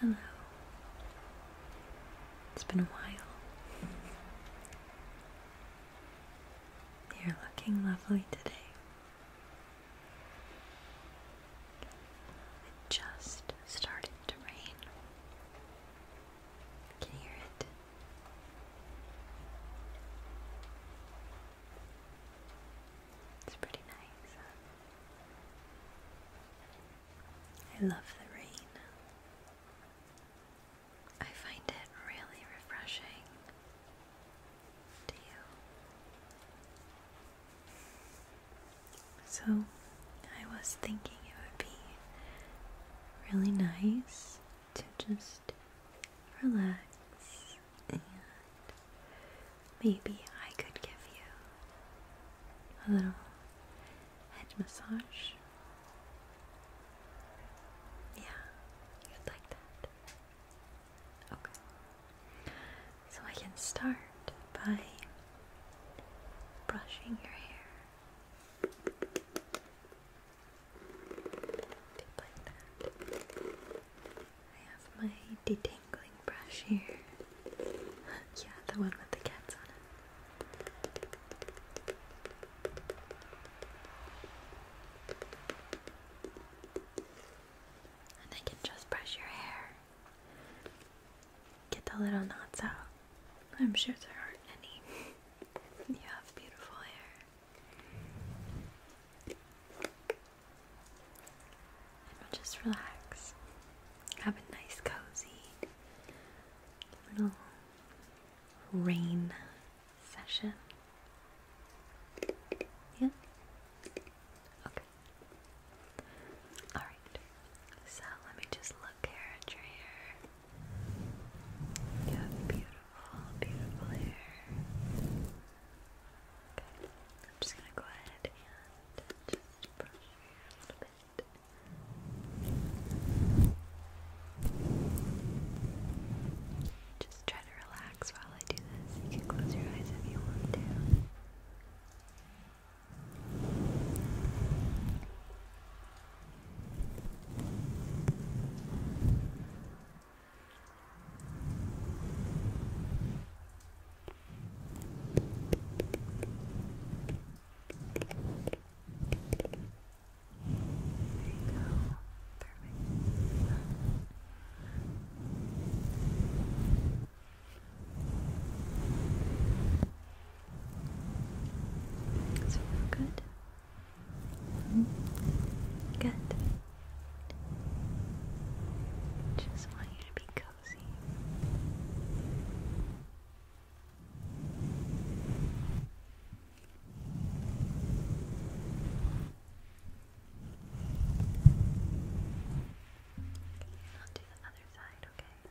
Hello. It's been a while. You're looking lovely today. It just started to rain. Can hear it? It's pretty nice. I love the rain. I find it really refreshing. Do you? So, I was thinking it would be really nice to just relax and maybe I could give you a little head massage. Yeah, you'd like that. Okay. So I can start by brushing your hair like that. I have my detangling brush here. yeah, the one with the cats on it. And I can just brush your hair. Get the little knots out. I'm sure there aren't any. You have beautiful hair. just relax. Have a nice, cozy little rain session. Yeah? Okay. Alright. So let me just look here at your hair. You have beautiful, beautiful hair. I'm just gonna go ahead and just brush a little bit. Just try to relax while I do this. You can close your eyes if you want to. Perfect. Does it feel good? Good. Just want you to be cozy. Okay, i do the other side, okay?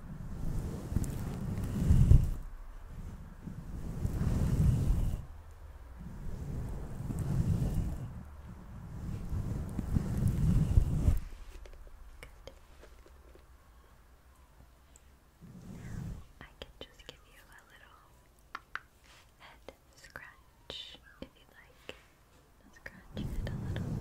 Now I can just give you a little head scratch if you like. Scratch it a little.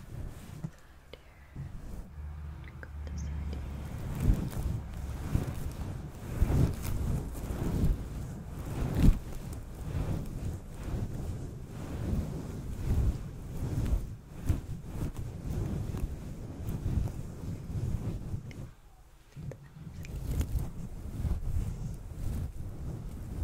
side here. Go this side here. Good.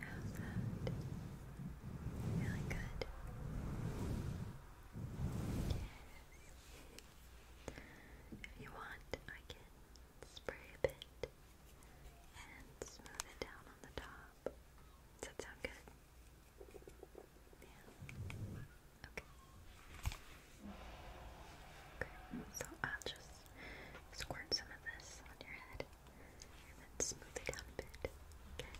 How's that? Really good. Yes. If you want, I can spray a bit and smooth it down on the top. Does that sound good? Yeah. Okay. Okay. So I'll just Squirt some of this on your head and then smooth it down a bit. Okay.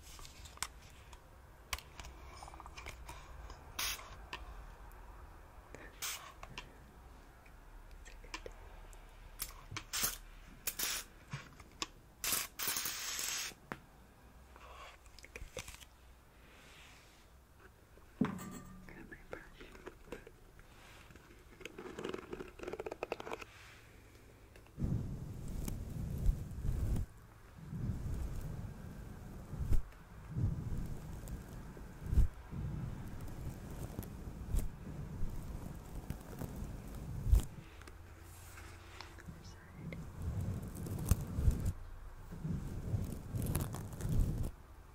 Got my brush. Side.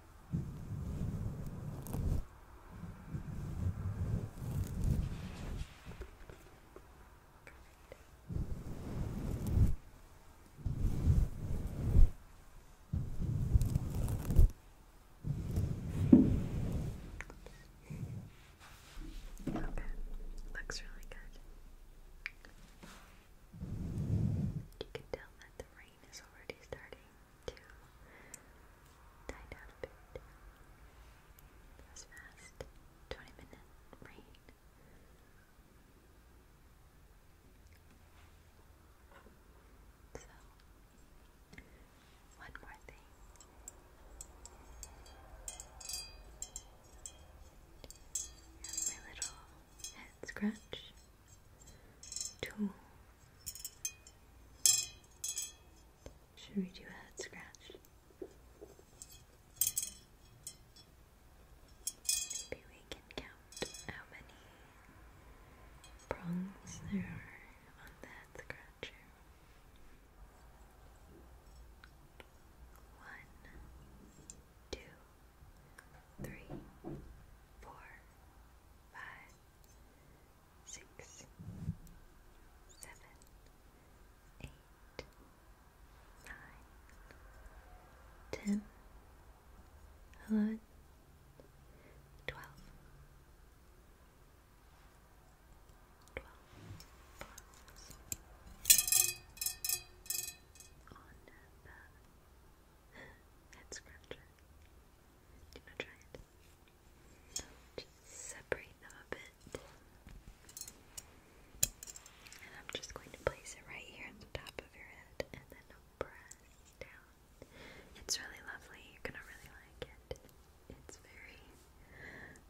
Okay, looks really good. You can tell that the rain is already starting to die down a was fast. 20 minute rain. So, one more thing. my little head scratch tool. Should we do a head scratch? Maybe we can count how many prongs there are on the scratcher. One, two, three, four, five, six, seven, eight, nine, ten, eleven, twelve, twelve on the head scratcher. Do you want to try it? Just separate them a bit. And I'm just going to place it right here on the top of your head and then press down. It's really lovely. You're going to really like it. It's very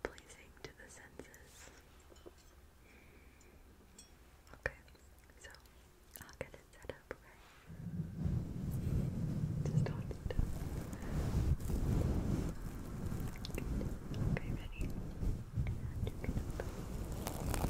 pleasing to the senses. Okay, so I'll get it set up, okay? Just hold it Okay, ready? you Wonderful.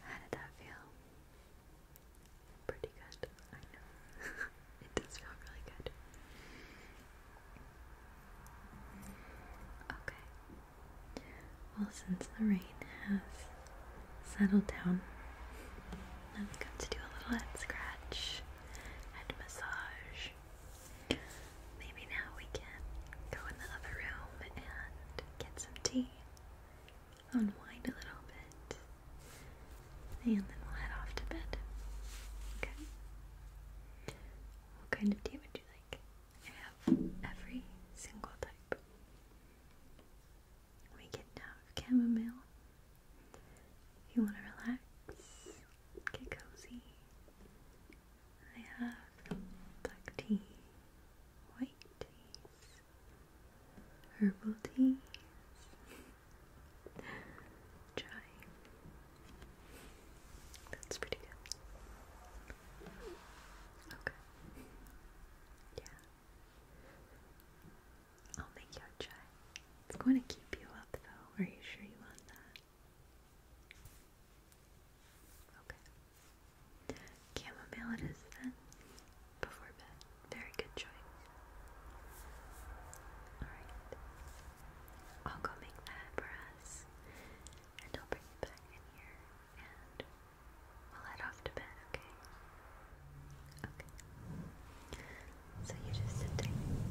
How did that feel? Pretty good, I know. it does feel really good. Okay. Well, since the rain has settled down, I'm going to do a little head scratch, head massage. Maybe now we can go in the other room and get some tea, unwind a little bit, and then we'll head off to bed. Okay? What kind of tea would you like? I have every single type. We get down chamomile. If you want to relax, get cozy, I have black tea, white tea, herbal tea, Chai. That's pretty good. Okay. Yeah. I'll make you a chai. It's going to keep you up though. Are you sure you want that? Okay. Chamomile it is then. Before bed. Very good choice. Alright. I'll go make that for us. And I'll bring it back in here. And we'll head off to bed, okay? Okay. So you just sit there and relax.